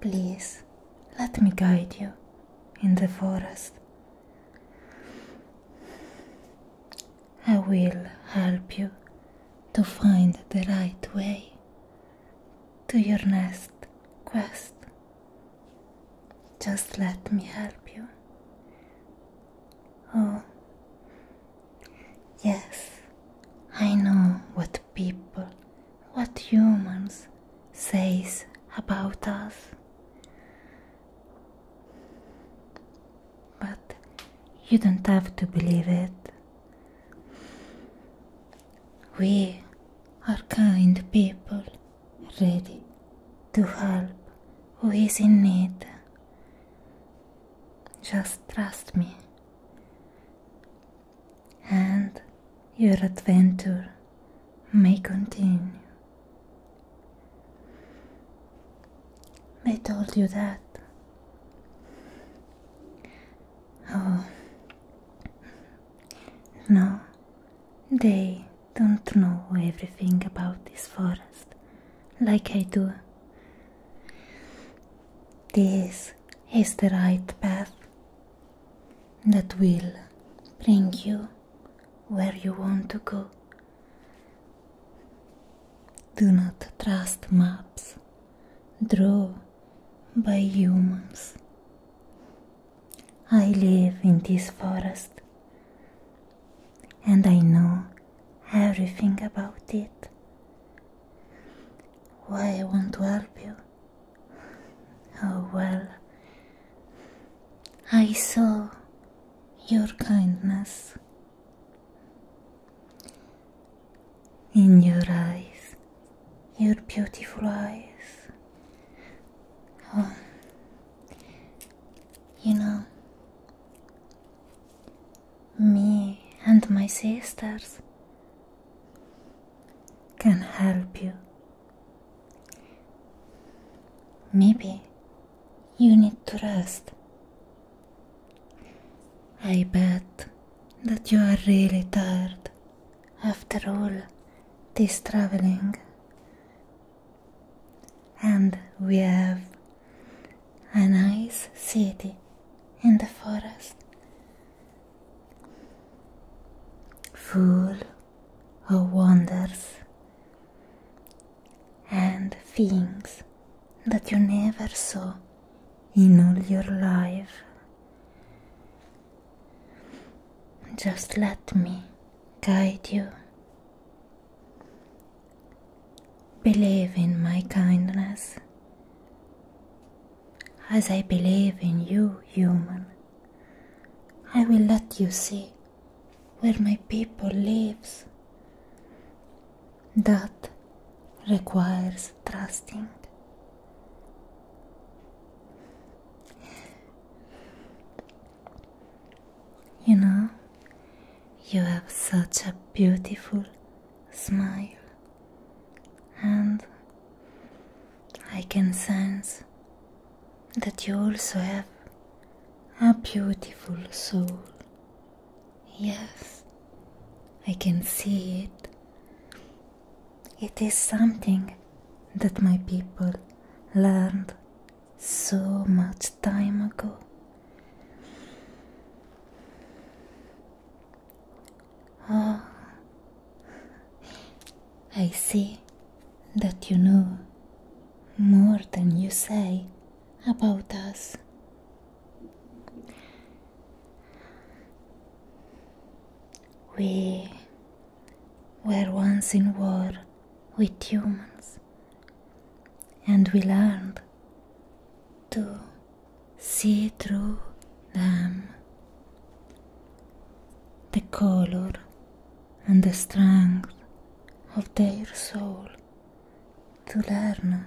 Please let me guide you in the forest. I will help you to find the right way to your next quest. Just let me help you. Oh, yes, I know what people what humans says about us but you don't have to believe it we are kind people ready to help who is in need just trust me and your adventure may continue. They told you that. Oh, no, they don't know everything about this forest like I do. This is the right path that will bring you where you want to go. Do not trust maps drawn by humans. I live in this forest and I know everything about it. Why I want to help you Oh well, I saw your kindness in your eyes, your beautiful eyes. Oh, you know, me and my sisters can help you Maybe you need to rest. I bet that you are really tired after all this traveling. And we have a nice city in the forest full of wonders and things that you never saw in all your life. Just let me guide you. Believe in my kindness as I believe in you, human. I will let you see where my people lives. That requires trusting. You know, you have such a beautiful smile and I can sense that you also have a beautiful soul. Yes, I can see it. It is something that my people learned so much time ago. Oh, I see that you know more than you say about us. We were once in war with humans, and we learned to see through them. Um, the color and the strength of their soul to learn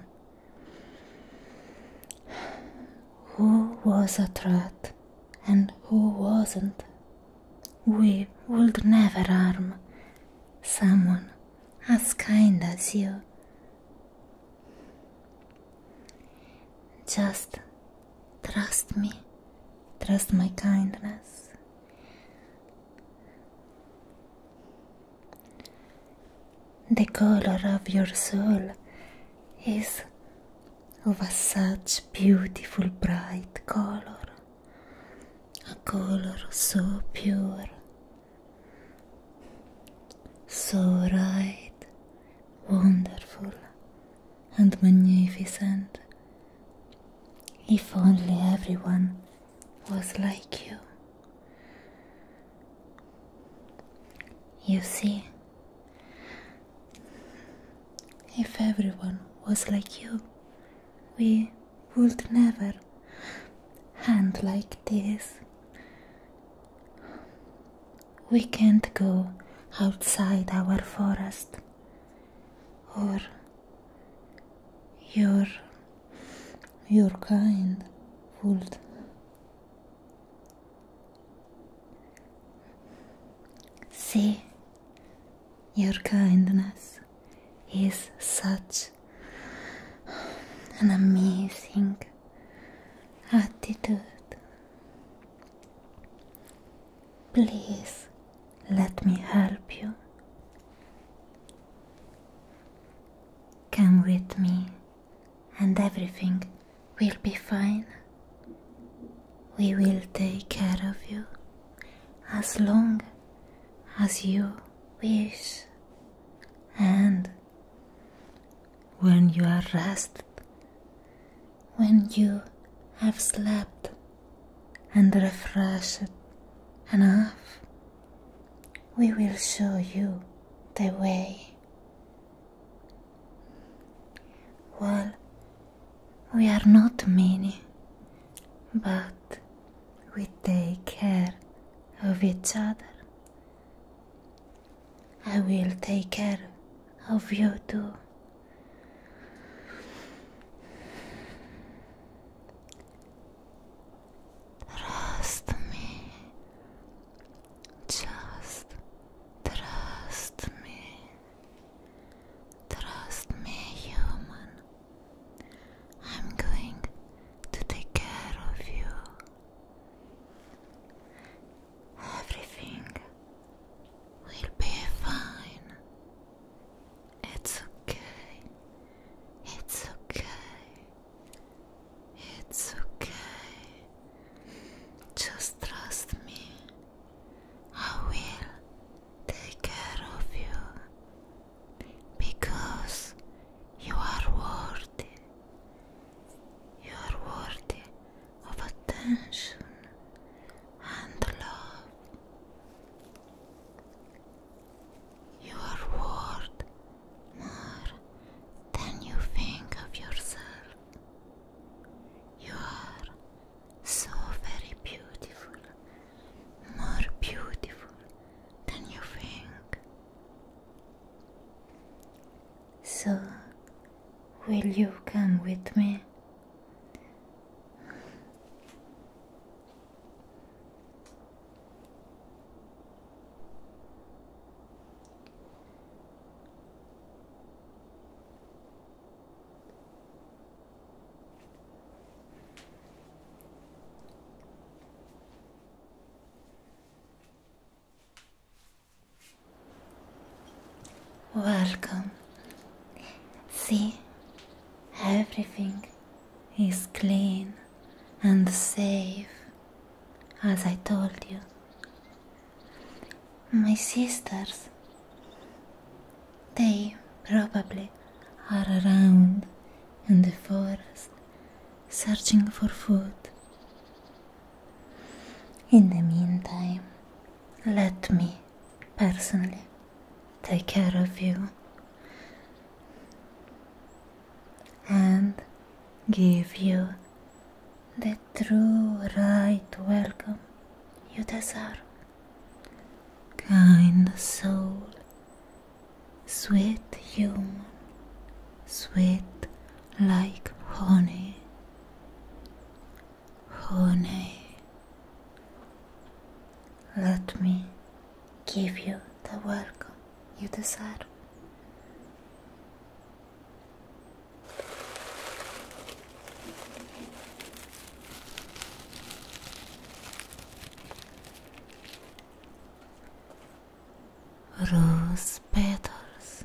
who was a threat and who wasn't. We would never harm someone as kind as you. Just trust me, trust my kindness. The color of your soul is of a such beautiful bright color, a color so pure, so right, wonderful and magnificent. If only everyone was like you. You see, if everyone was like you, we would never end like this we can't go outside our forest or your your kind would see your kindness is such an amazing attitude Please let me help you. Come with me, and everything will be fine. We will take care of you as long as you wish, and when you are rested, when you have slept and refreshed enough, we will show you the way. Well, we are not many, but we take care of each other. I will take care of you too. Trust me. Just trust me. Trust me, human. I'm going to take care of you. Everything will be fine. It's okay. It's okay. It's okay. Just trust me. I will take care of you because you are worthy. You are worthy of attention and love. You are worth more than you think of yourself. You are so very beautiful, more beautiful than you think. So, will you come with me? Welcome. See, everything is clean and safe, as I told you. My sisters, they probably are around in the forest searching for food. In the meantime, let me personally take care of you and give you the true right welcome you deserve. Kind soul, sweet human, sweet like honey, Honey, let me give you the welcome you deserve. Rose petals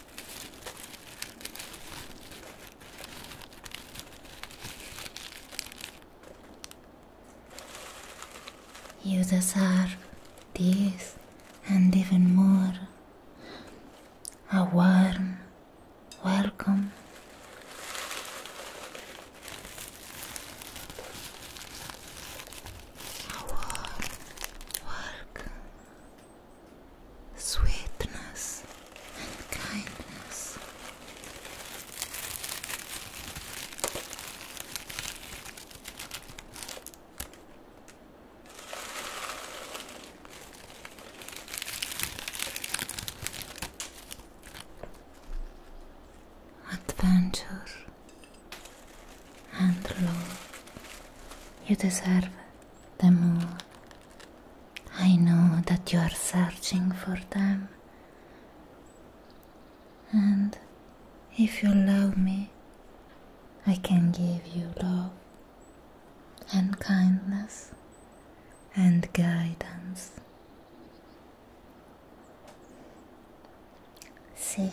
You deserve this and even more. A warm welcome. A warm welcome sweetness and kindness. Adventure and love, you deserve it the moon. I know that you are searching for them. And if you love me, I can give you love and kindness and guidance. See,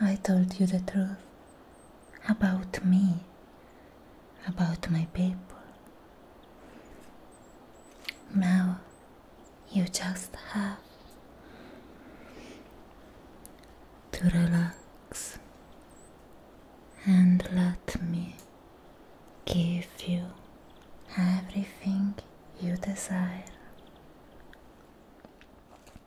I told you the truth about me, about my people. Now you just have to relax and let me give you everything you desire.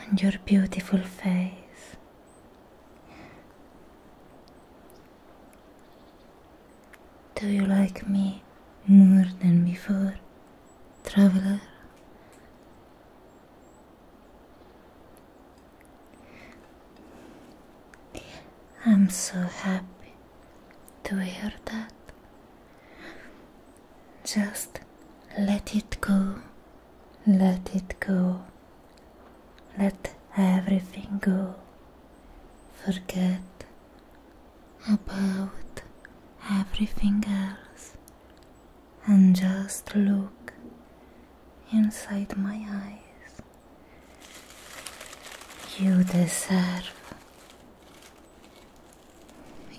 on your beautiful face. Do you like me more than before, traveler? I'm so happy to hear that. Just let it go, let it go, let everything go. Forget about everything else and just look inside my eyes. You deserve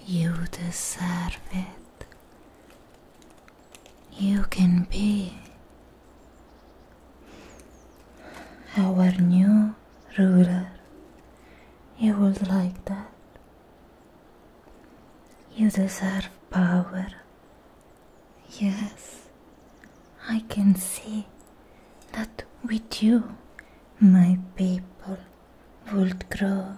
you deserve it. You can be our new ruler. You would like that. You deserve power. Yes, I can see that with you, my people would grow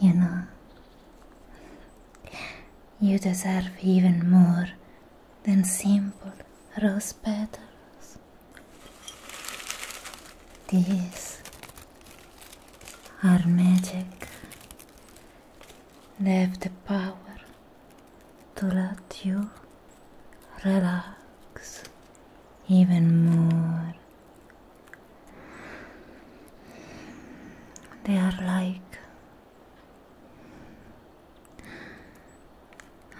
You know, you deserve even more than simple rose petals. These are magic have the power to let you relax even more. They are like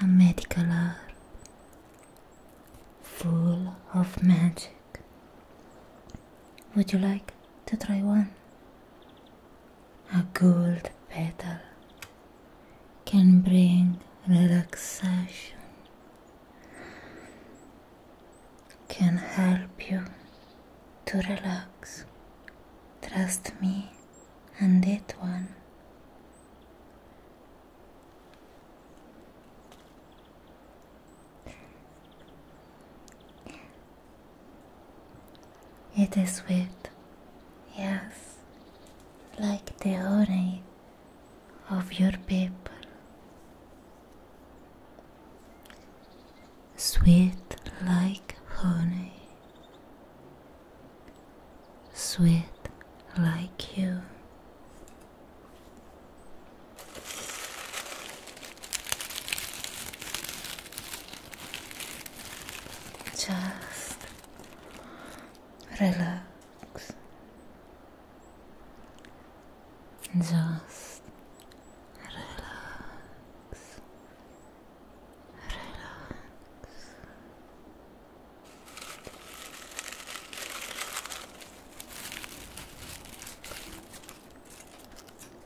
a medical art, full of magic. Would you like to try one? a gold petal can bring relaxation, can help you to relax. Trust me and that one. It is sweet, yes, like the honey of your people. Sweet like honey, sweet like you. Just relax. Just relax. Relax.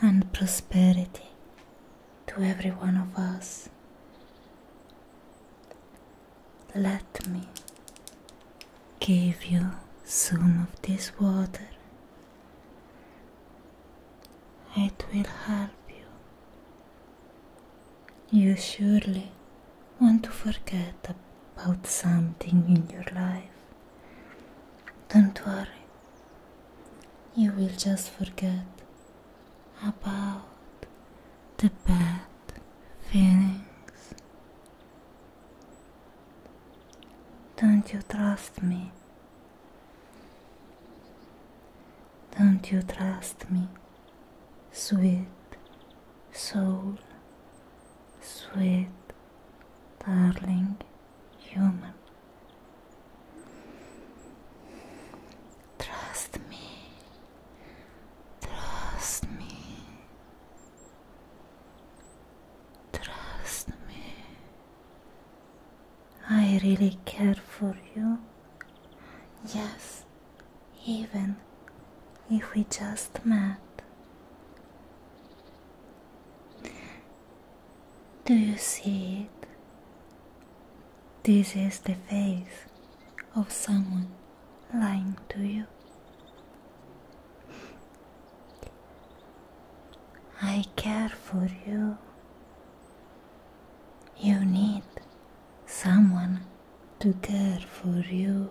and prosperity to every one of us. Let me give you some of this water. It will help you. You surely want to forget about something in your life. Don't worry, you will just forget about the bad feelings. Don't you trust me? Don't you trust me, sweet soul, sweet darling? human. Trust me. Trust me. Trust me. I really care for you. Yes, even if we just met. Do you see it? This is the face of someone lying to you. I care for you. You need someone to care for you.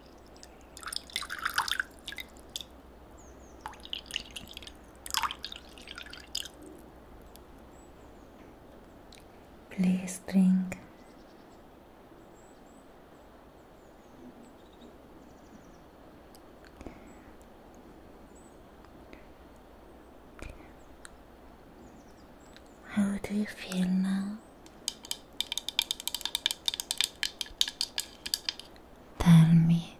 Please drink. How do you feel now? Tell me,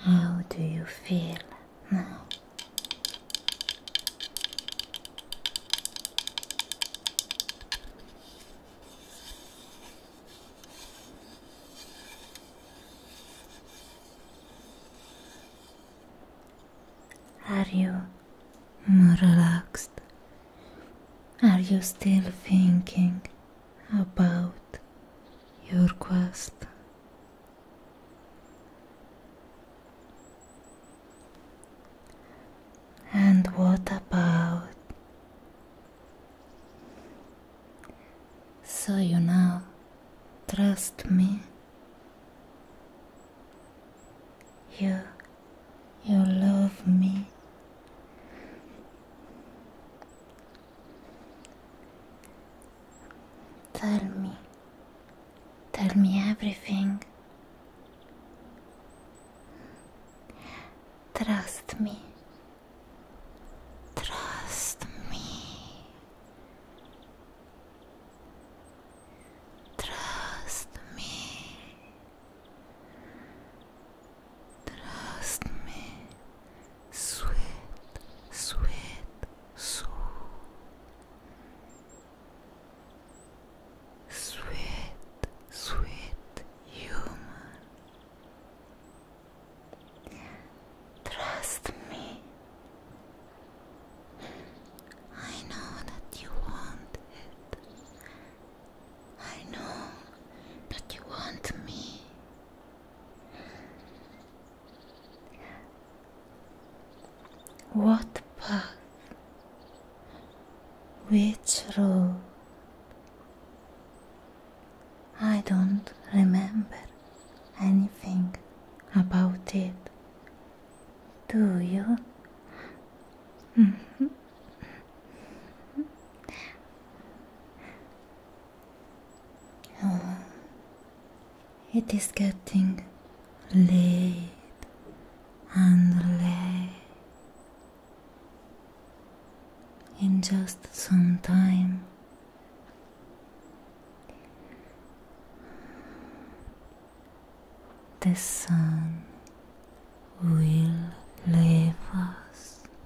how do you feel now? Are you more relaxed? Are you still thinking about your quest. And what about? So you know? trust me. You, you love me. Tell me. Tell me everything. Trust me. Trust me. Trust me. Trust me, sweet, sweet soul. Sweet, sweet human. Trust me. I know that you want it. I know that you want me. What path? Which road? I don't remember anything about it. Do you? Mm-hmm. Oh, it is getting late and In just some time, the sun will leave us.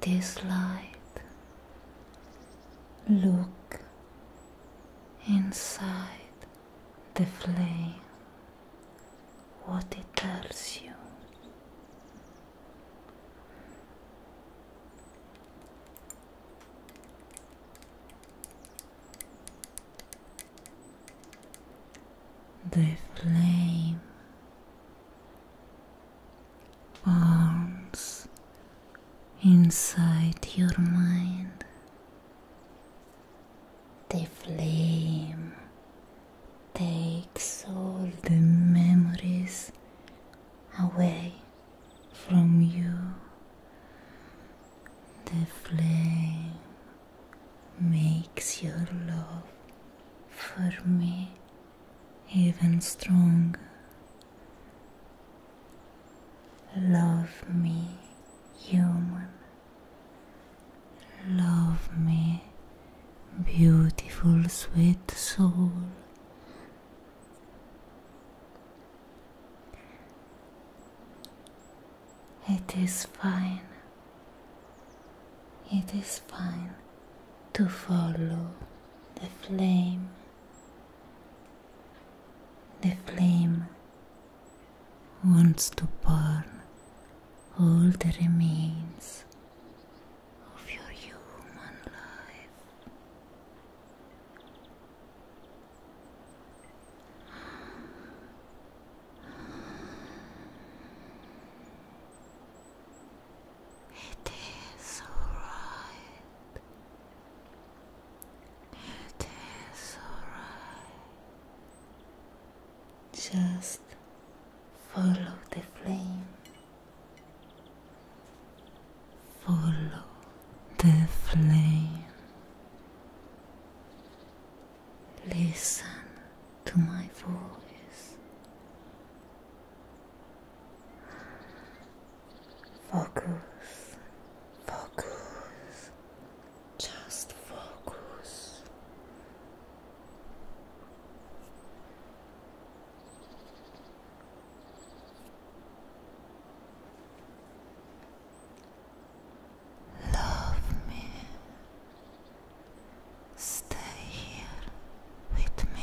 this light. Look inside the flame, what it tells you. The flame bones inside your mind. The flame takes all the memories away from you. The flame makes your love for me even stronger. Love me, human. Love me, beautiful, sweet soul. It is fine, it is fine to follow the flame. The flame wants to burn all the remains of your human life. It is alright. It is alright. Just follow the flame. Follow the flame. Listen to my voice. Focus, focus, just focus. Love me. Stay here with me.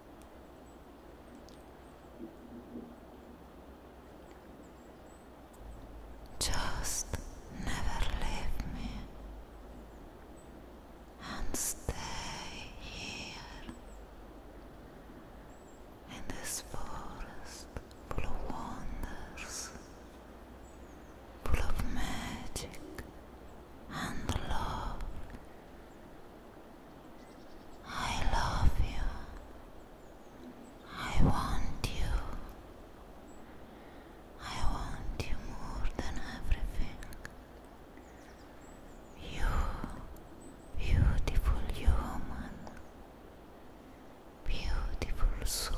Just never leave me and stay here in this forest full of wonders, full of magic, and love. I love you. I want you. I want you more than everything. You, beautiful human, beautiful soul.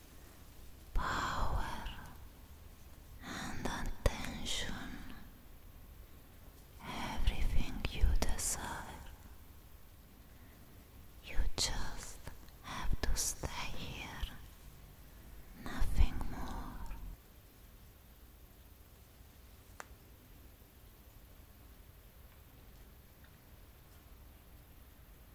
power and attention, everything you desire. You just have to stay here, nothing more.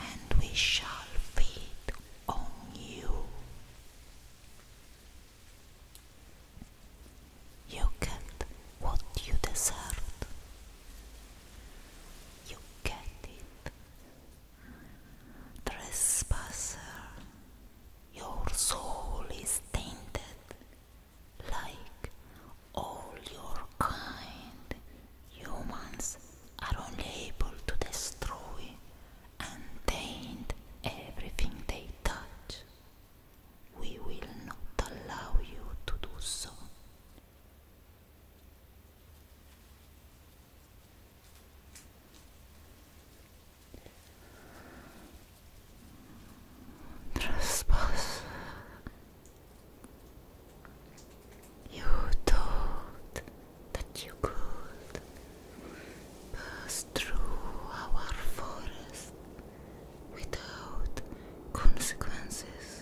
and we shall feed on you. You get what you deserved. You get it. Trespasser, your soul is tainted like all your kind Humans are only able to destroy and taint everything they touch. We will not allow you to do so. Trespass. You thought that you could pass through our forest without consequences.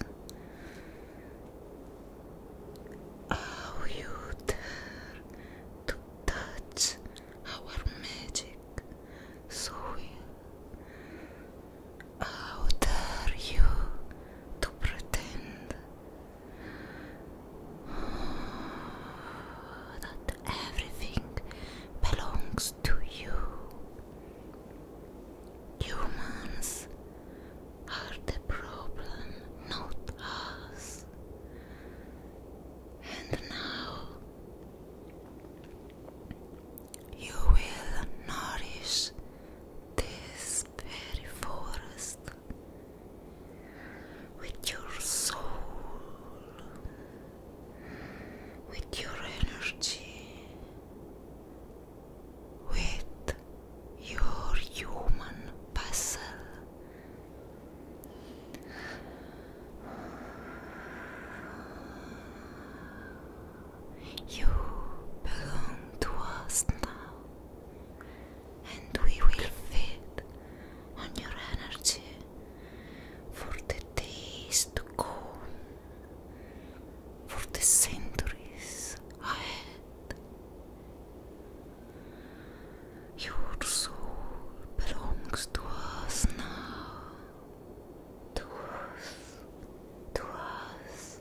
How you dare to touch our magic soil? How dare you to pretend that everything belongs to you. Humans are the problem, not us. And now you will nourish this very forest with your soul, with your energy, with your human vessel. You belong to us now and we will feed on your energy for the days to come, for the centuries ahead. Your soul belongs to us now, to us, to us,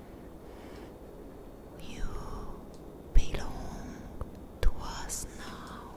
You belong to us now.